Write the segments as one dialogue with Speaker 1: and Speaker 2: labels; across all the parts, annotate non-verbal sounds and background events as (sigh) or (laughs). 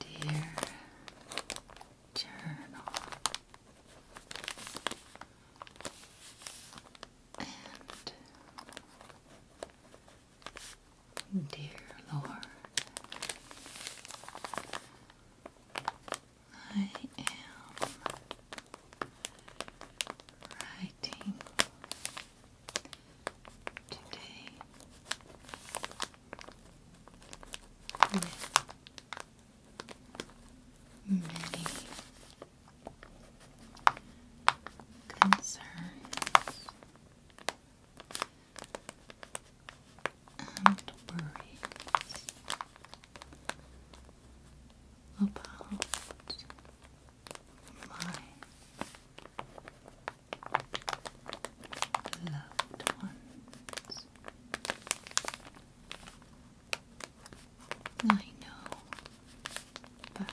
Speaker 1: Dear journal and Dear Lord, I am writing today with many concerns and worries about my loved ones. I know that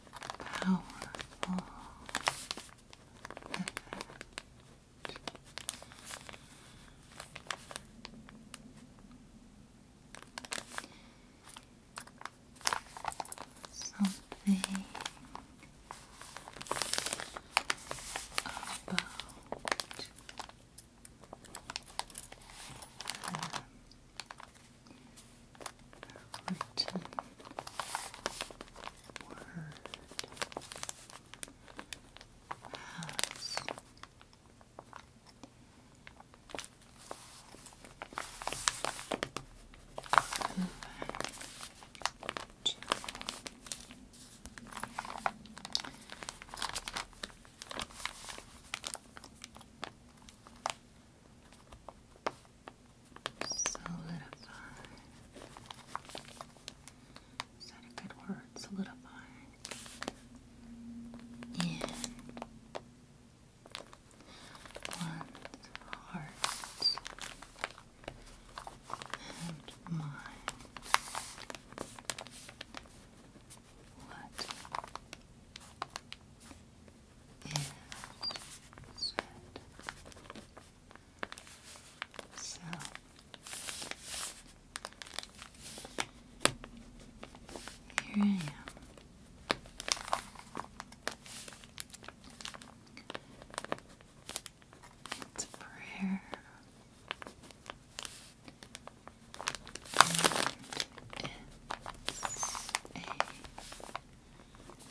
Speaker 1: powerful effect. Something about um, written word has Solidify. Is that a good word? Solidify. In one's heart and mind. What is red. here I am. It's prayer. it's a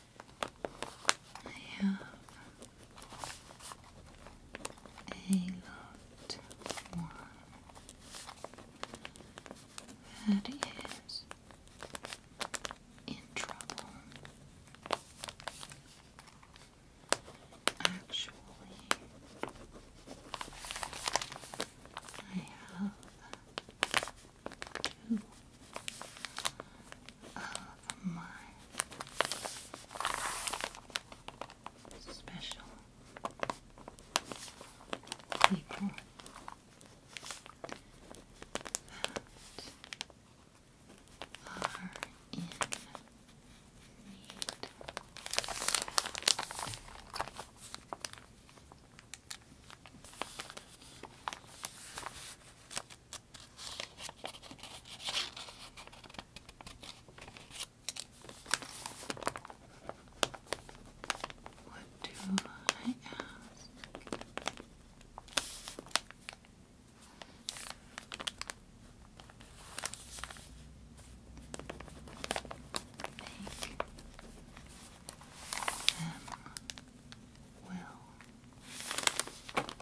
Speaker 1: I have a lot more that is in trouble. Actually, I have two of my special people are in need. What do I ask? Make them well Human comfort.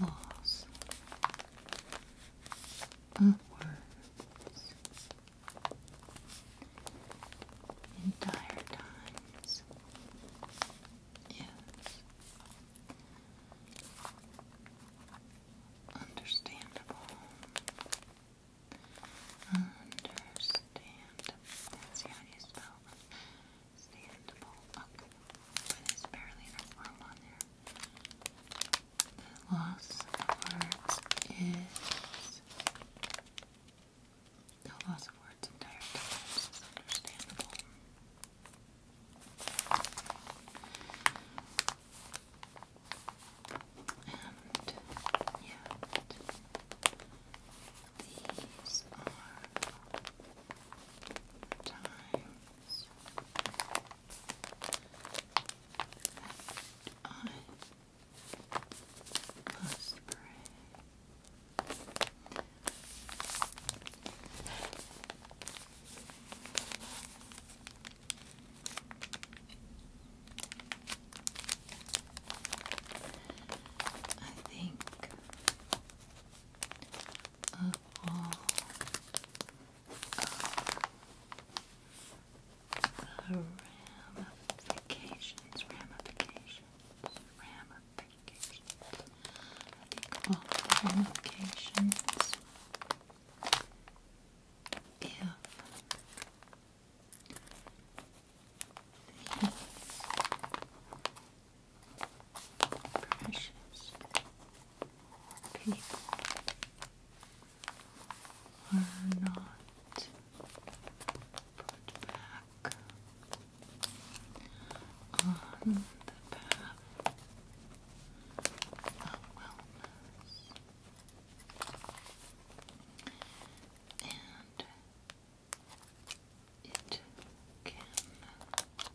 Speaker 1: Loss of words. In times, yes. Understandable. Understand. That's how you spell understandable. Okay. there's barely enough room on there. The loss of words is the loss of words entire understandable. And yet, these are times I must pray. I think of all the ramifications, ramifications, ramifications. I all ramifications. If the precious people are not put back on the path of wellness and it can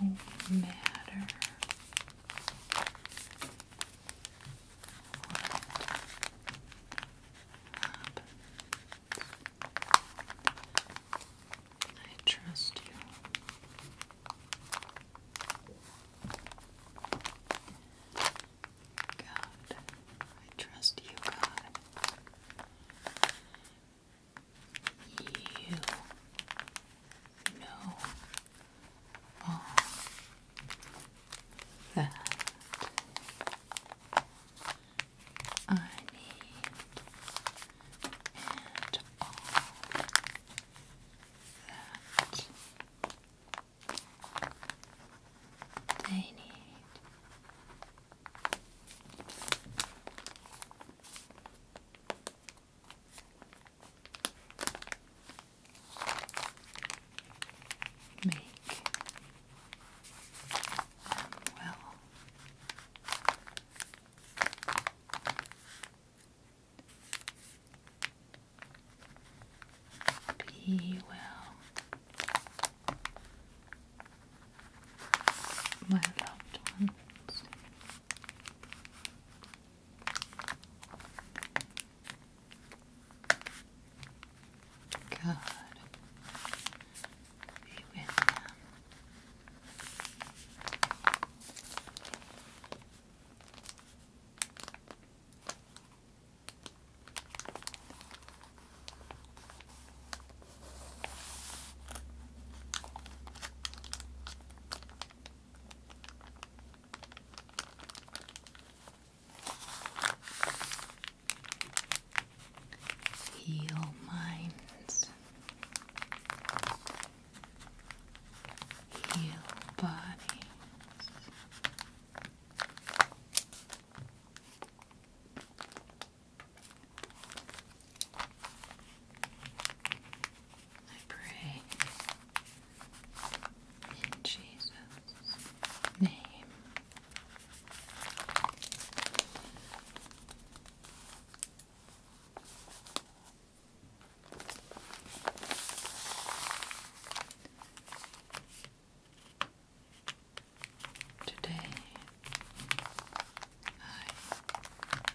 Speaker 1: no matter what happens. I trust you. God, I trust you, God. You know all that I need and all that they need. Make them well. Be well my loved ones. God be with them. Heal minds, heal bodies. I pray in Jesus' name. Today I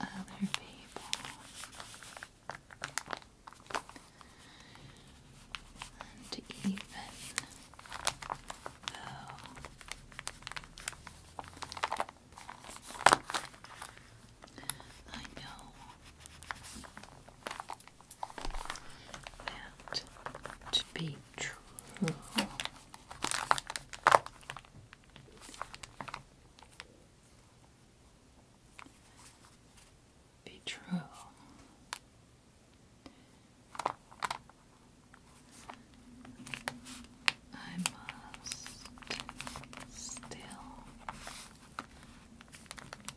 Speaker 1: other people and even though I know that to be true be true. I must still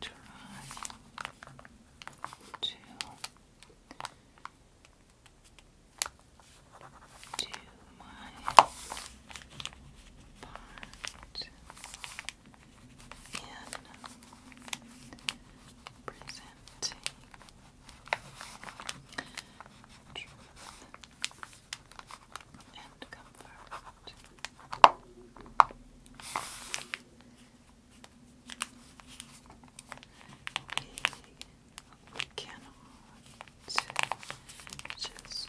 Speaker 1: try to to my part in presenting truth and comfort. We cannot just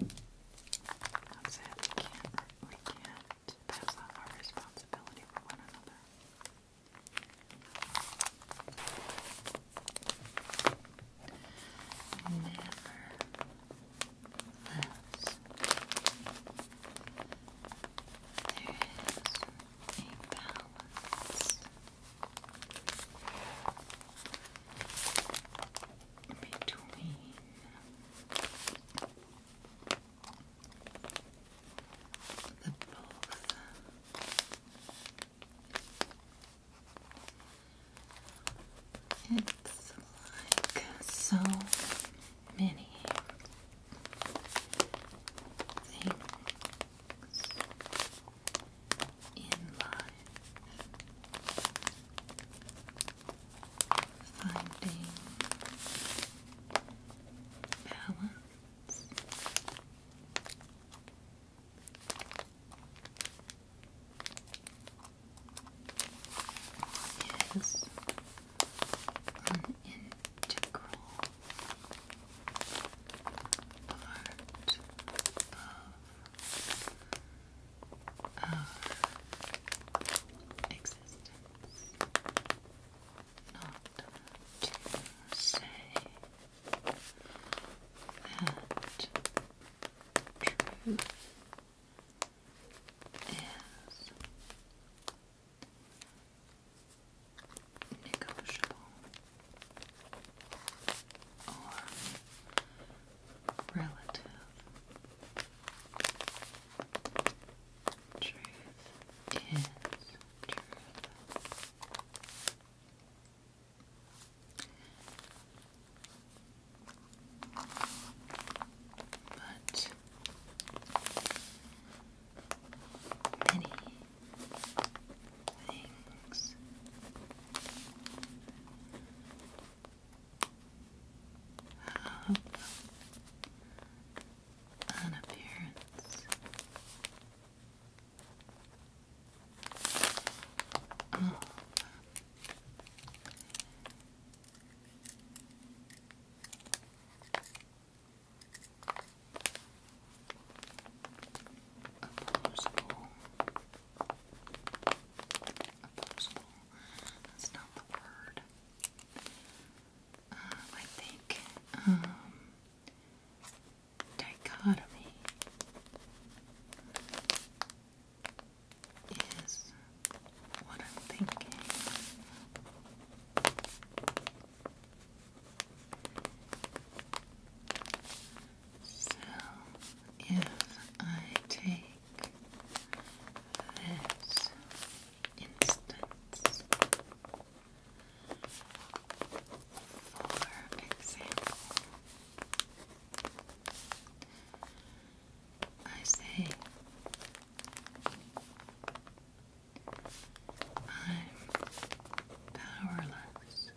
Speaker 1: That's it. We can't, we can't pass off our responsibility for one another. Nevertheless, there is a balance between the both. It's like so many things in life finding balance. Is an integral part of of existence, not to say that truth is negotiable or relative truth is truth. But many things up. An appearance. Oh. Up. Opposable. Opposable. That's not the word. Um, I think um, dichotomy is what I'm thinking. So if I take this instance. For example, I say I'm powerless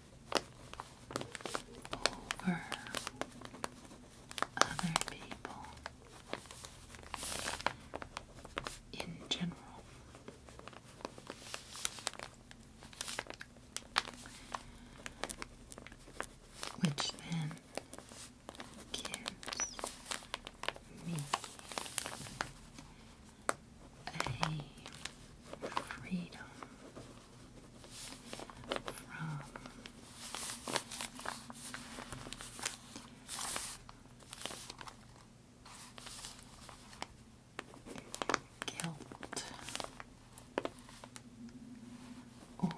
Speaker 1: other people in general. Which then gives me a freedom from guilt or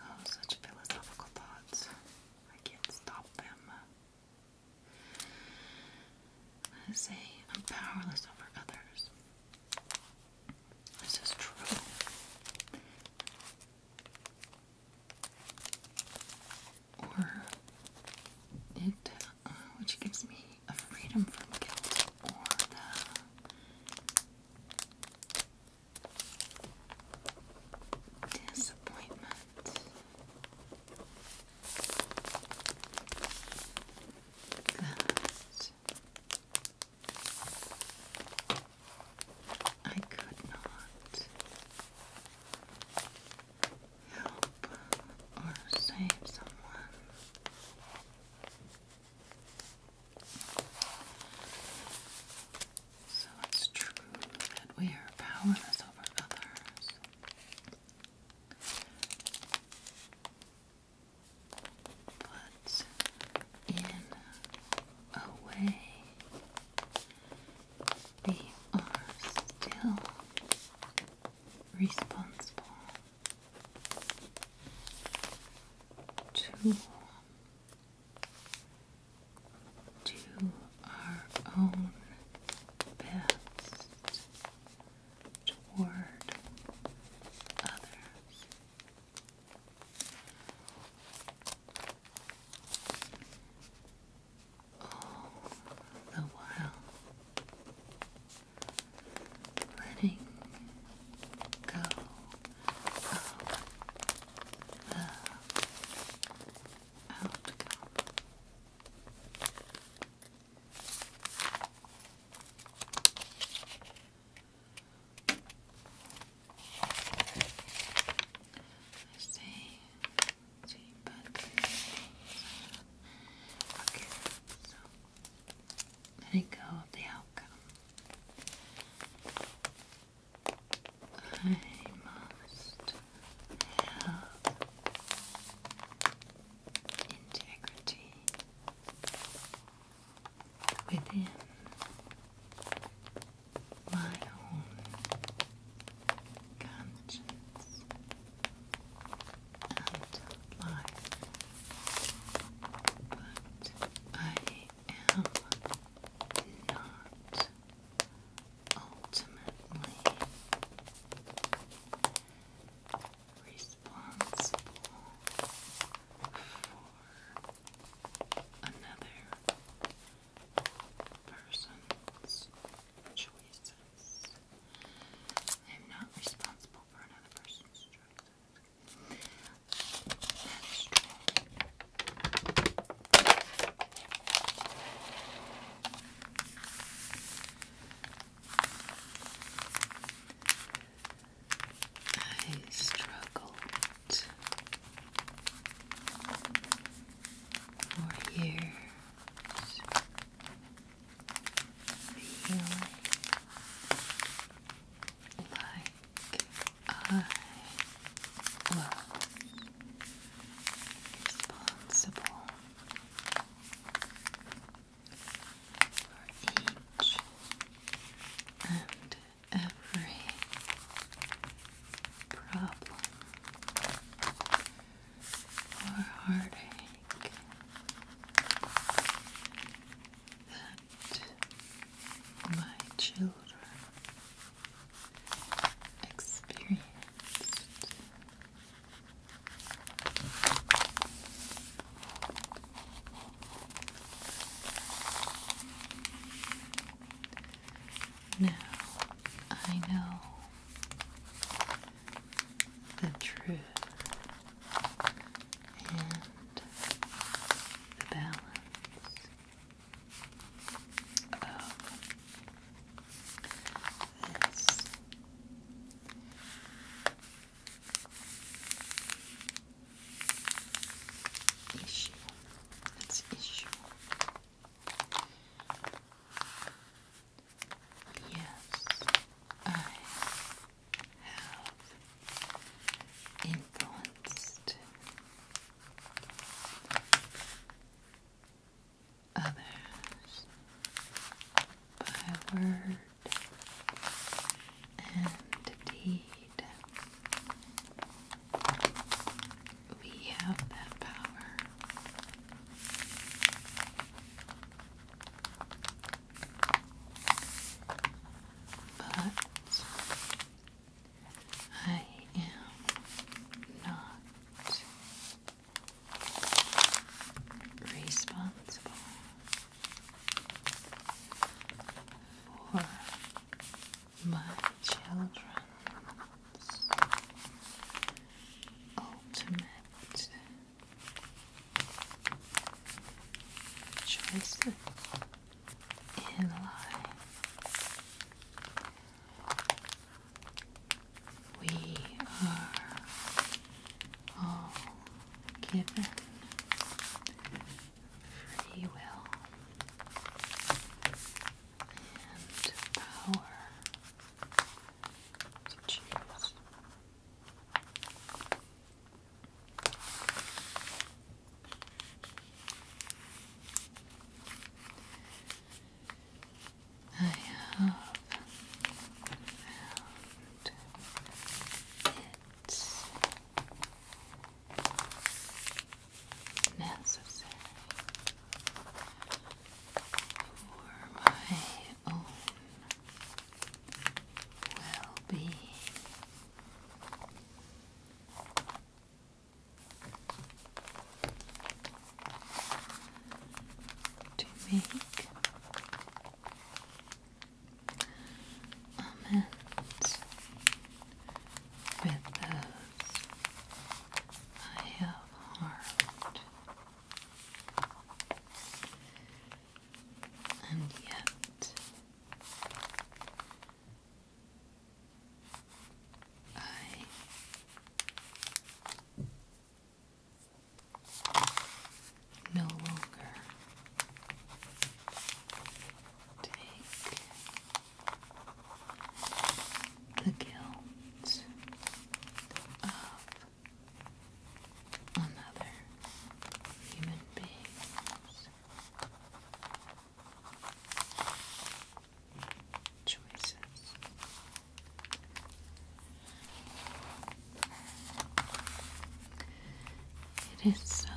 Speaker 1: Oh, such philosophical thoughts. I can't stop them. I say I'm powerless over others. This is true. Or it, uh, which gives me a freedom from guilt or the disappointment that I could not help or save someone. So it's true that we are powerless over others but in a way we are still responsible to do our own best toward others. All the while letting go of the outcome. I say, see, but okay, so letting go of the outcome. I must have integrity within my own conscience and life, but I am not ultimately responsible for another person's choices. I am not responsible for another person's choices. I struggled for years feeling like I was responsible for each and every problem or heartache that my children experienced. Now, I know the truth and the balance of this. Issue. That's issue. Yes, I have influenced others by word and deed. We have that power. But I am not responsible for my children's ultimate choices in life we are all given free will and power to choose. I have found it necessary for my own well-being to make almonds with those I have harmed. And yet, I no longer take the guilt of another human being's choices it is so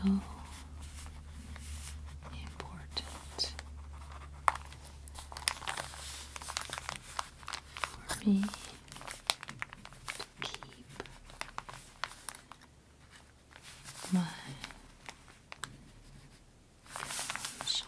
Speaker 1: important for me to keep my conscience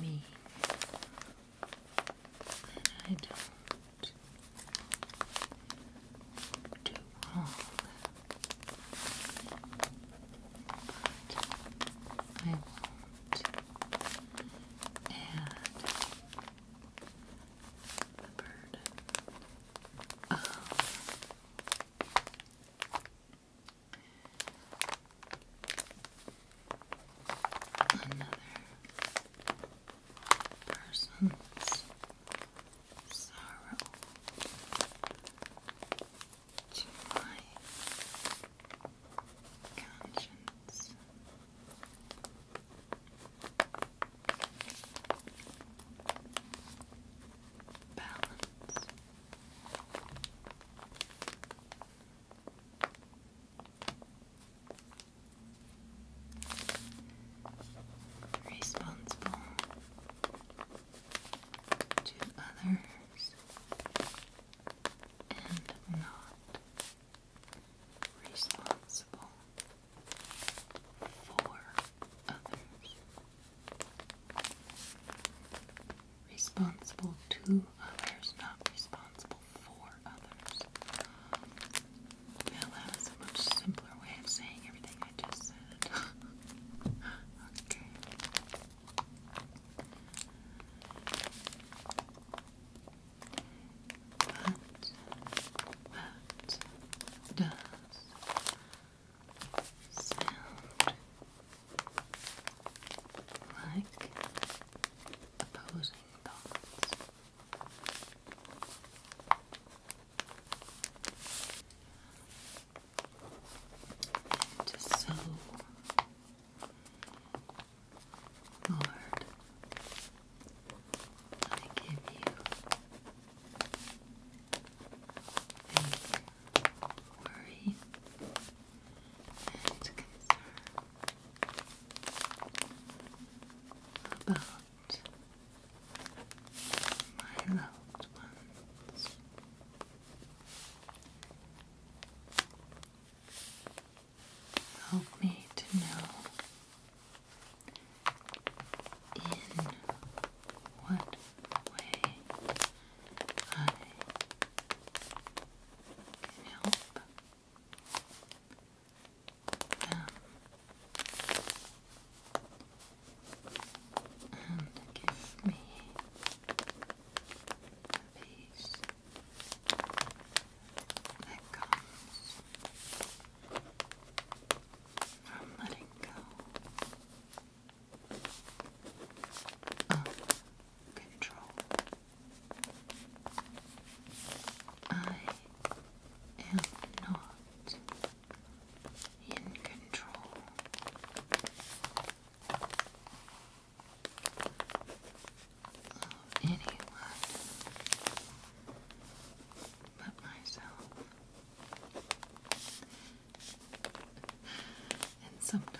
Speaker 1: mean that I don't do wrong. But I won't the burden another person's sorrow to my conscience. Balance Responsible to others and not responsible for others. Responsible to others, not responsible for others. Now that is a much simpler way of saying everything I just said. (laughs) okay. But that does sound like opposing thoughts. And so, Lord, I give you thank worry and concern about my loved ones. Help me to know in what way I can help them and give me the peace that comes from letting go of control. I am not in control. Of anyone but myself. And sometimes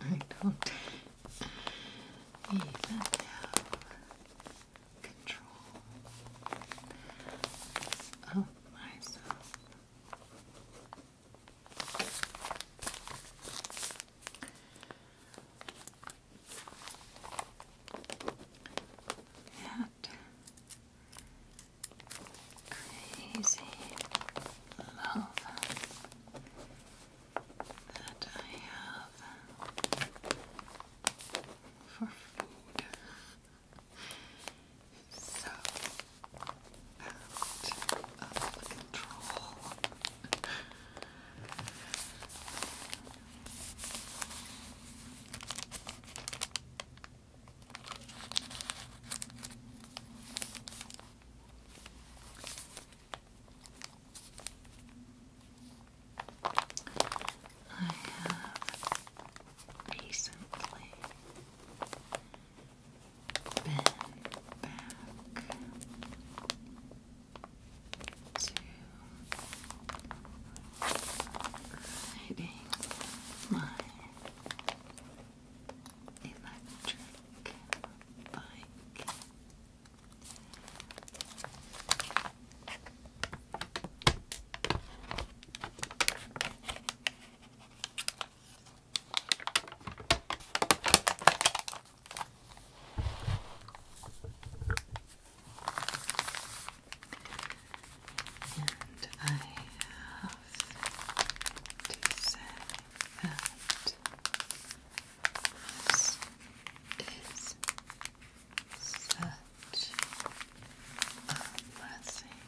Speaker 1: I don't even have control of myself. And crazy love that I have for food. So out of control. I have recently been back to riding my electric bike. And I have to say this is such a blessing.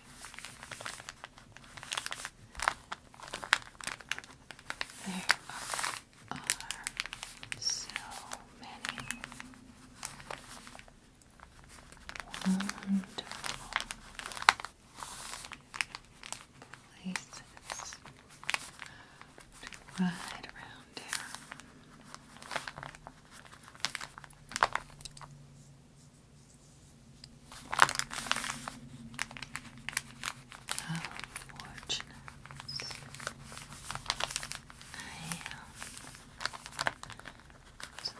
Speaker 1: There are so many wonderful places to ride around here. How fortunate I that is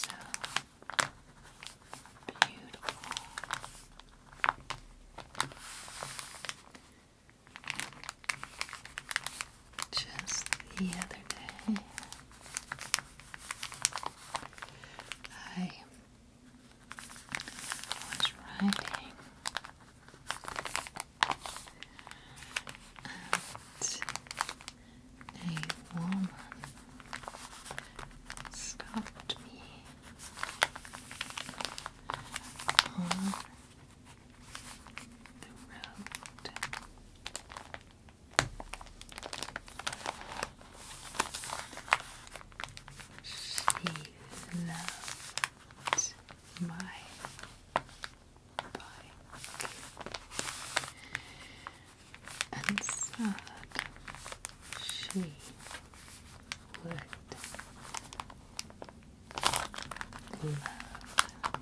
Speaker 1: so beautiful. Just the other day, I was writing and a woman stopped me on the road she loves my bike and sad she would love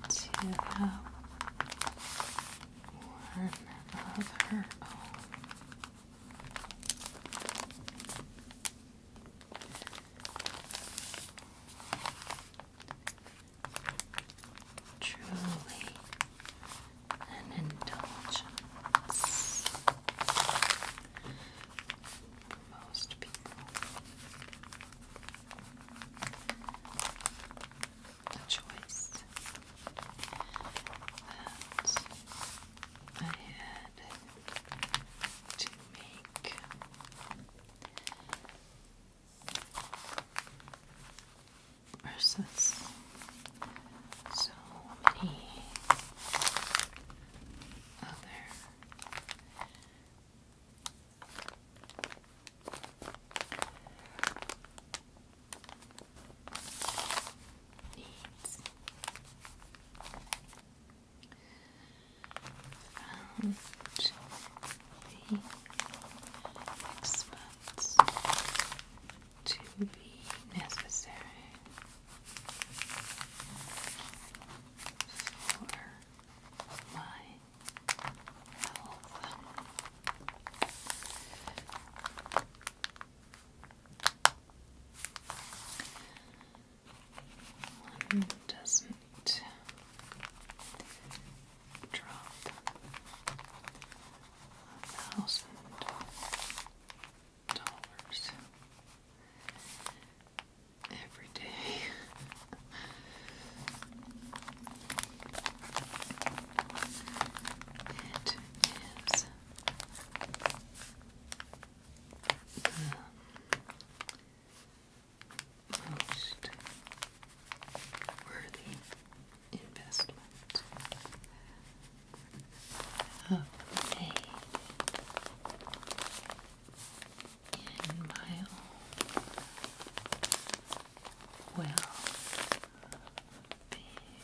Speaker 1: to have one of her own. Truly an indulgence for most people a choice that I had to make. Versus so many other needs. Found the experts to be necessary for my health doesn't drop thousand dollars every day. (laughs) It is the most worthy investment of made in my own well being.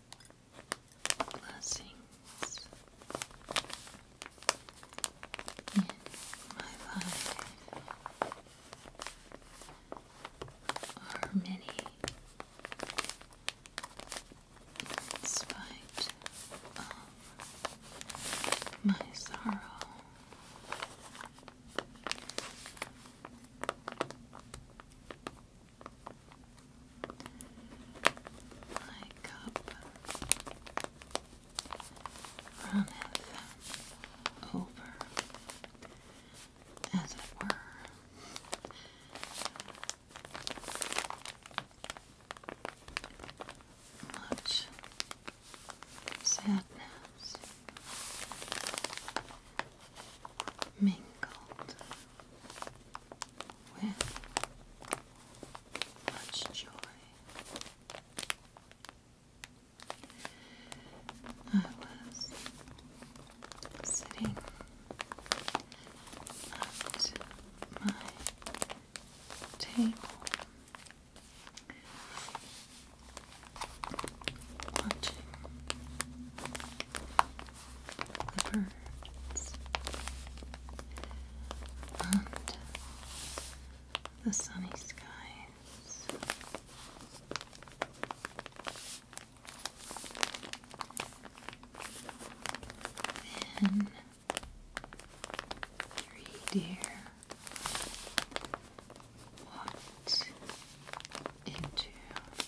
Speaker 1: blessings in my life are many in my sorrow my cup runneth over, as it were. Much sadness mingled with much joy. I was sitting at my table watching the birds, and the sunny skies. Then three deer walked into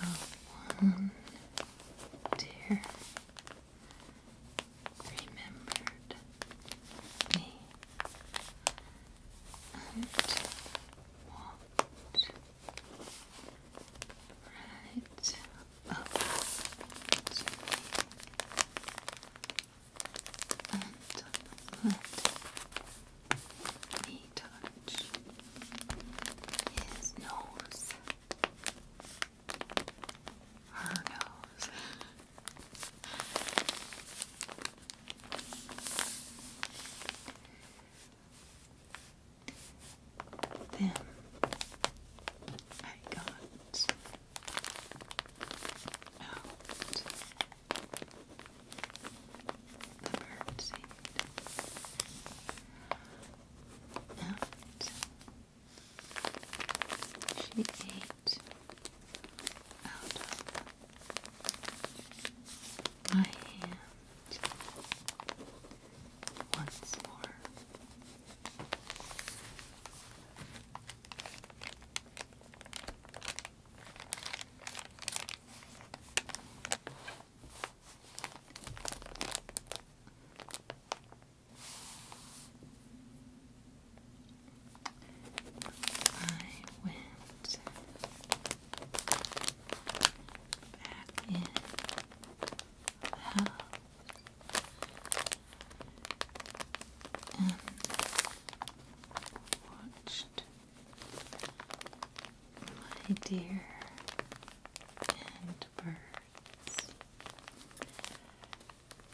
Speaker 1: of one dear remembered me and walked right up to me and let me touch his nose her nose. then I got out the bird seed out. She ate out of my hand once more. I went back in and watched my dear and bird words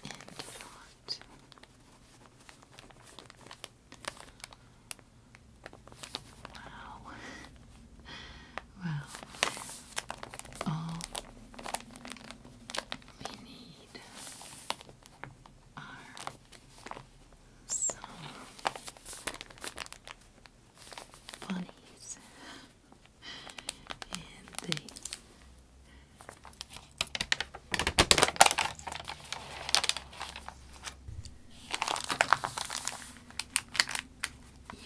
Speaker 1: and thought. Wow. Well, all we need are uh, some bunnies and the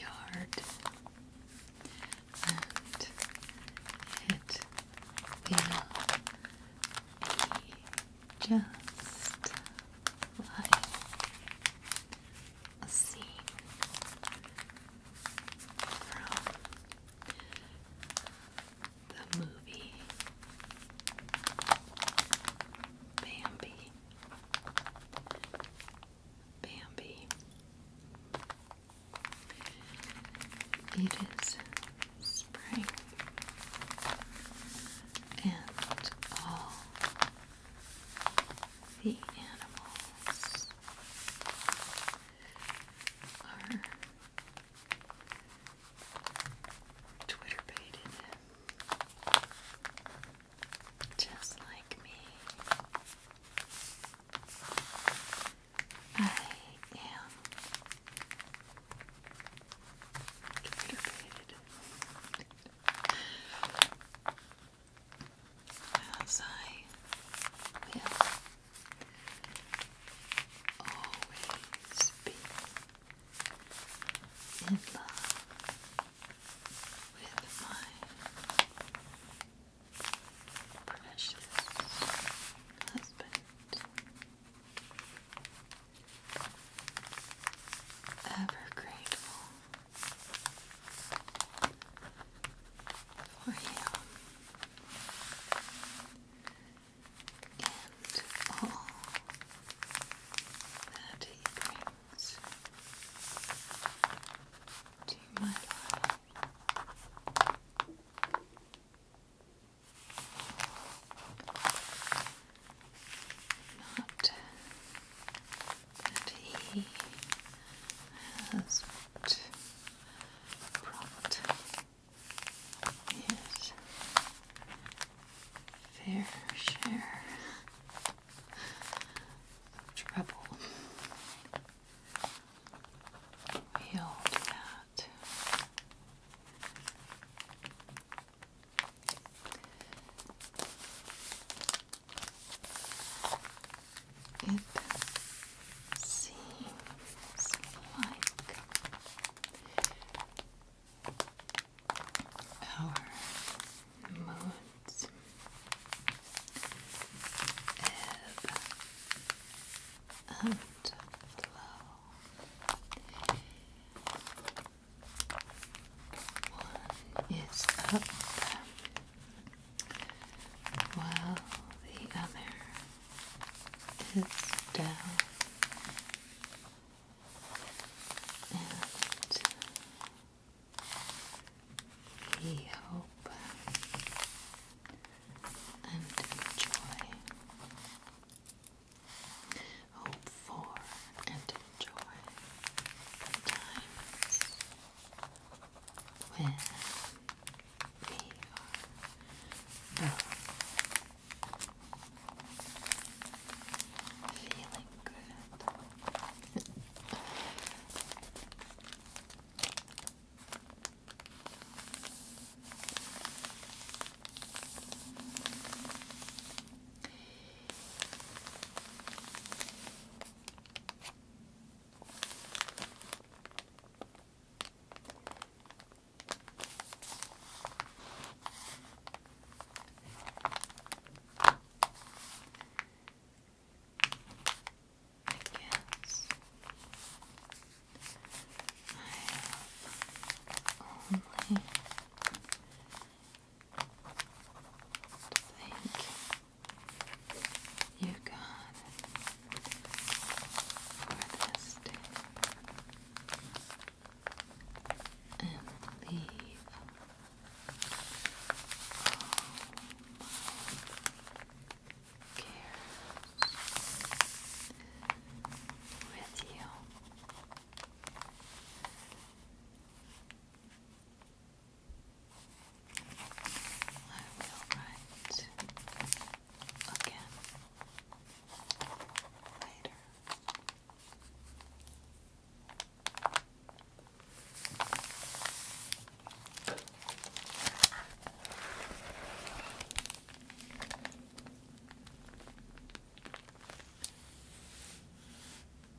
Speaker 1: yard and it will just like a scene from the movie Bambi. Bambi. It is spring, and all the animals are Twitter baited, just like me. I am Twitter baited as I will always be in love with my precious husband. Ever grateful for you and all that he brings to my life. Not that he has brought his fair share of trouble. We that. It seems like our moods ebb and One is up while the other is down and we hope and enjoy. Hope for and enjoy the times when we are feeling good. I guess I only think You've got for this day and leave. Cares with you. I will write again later.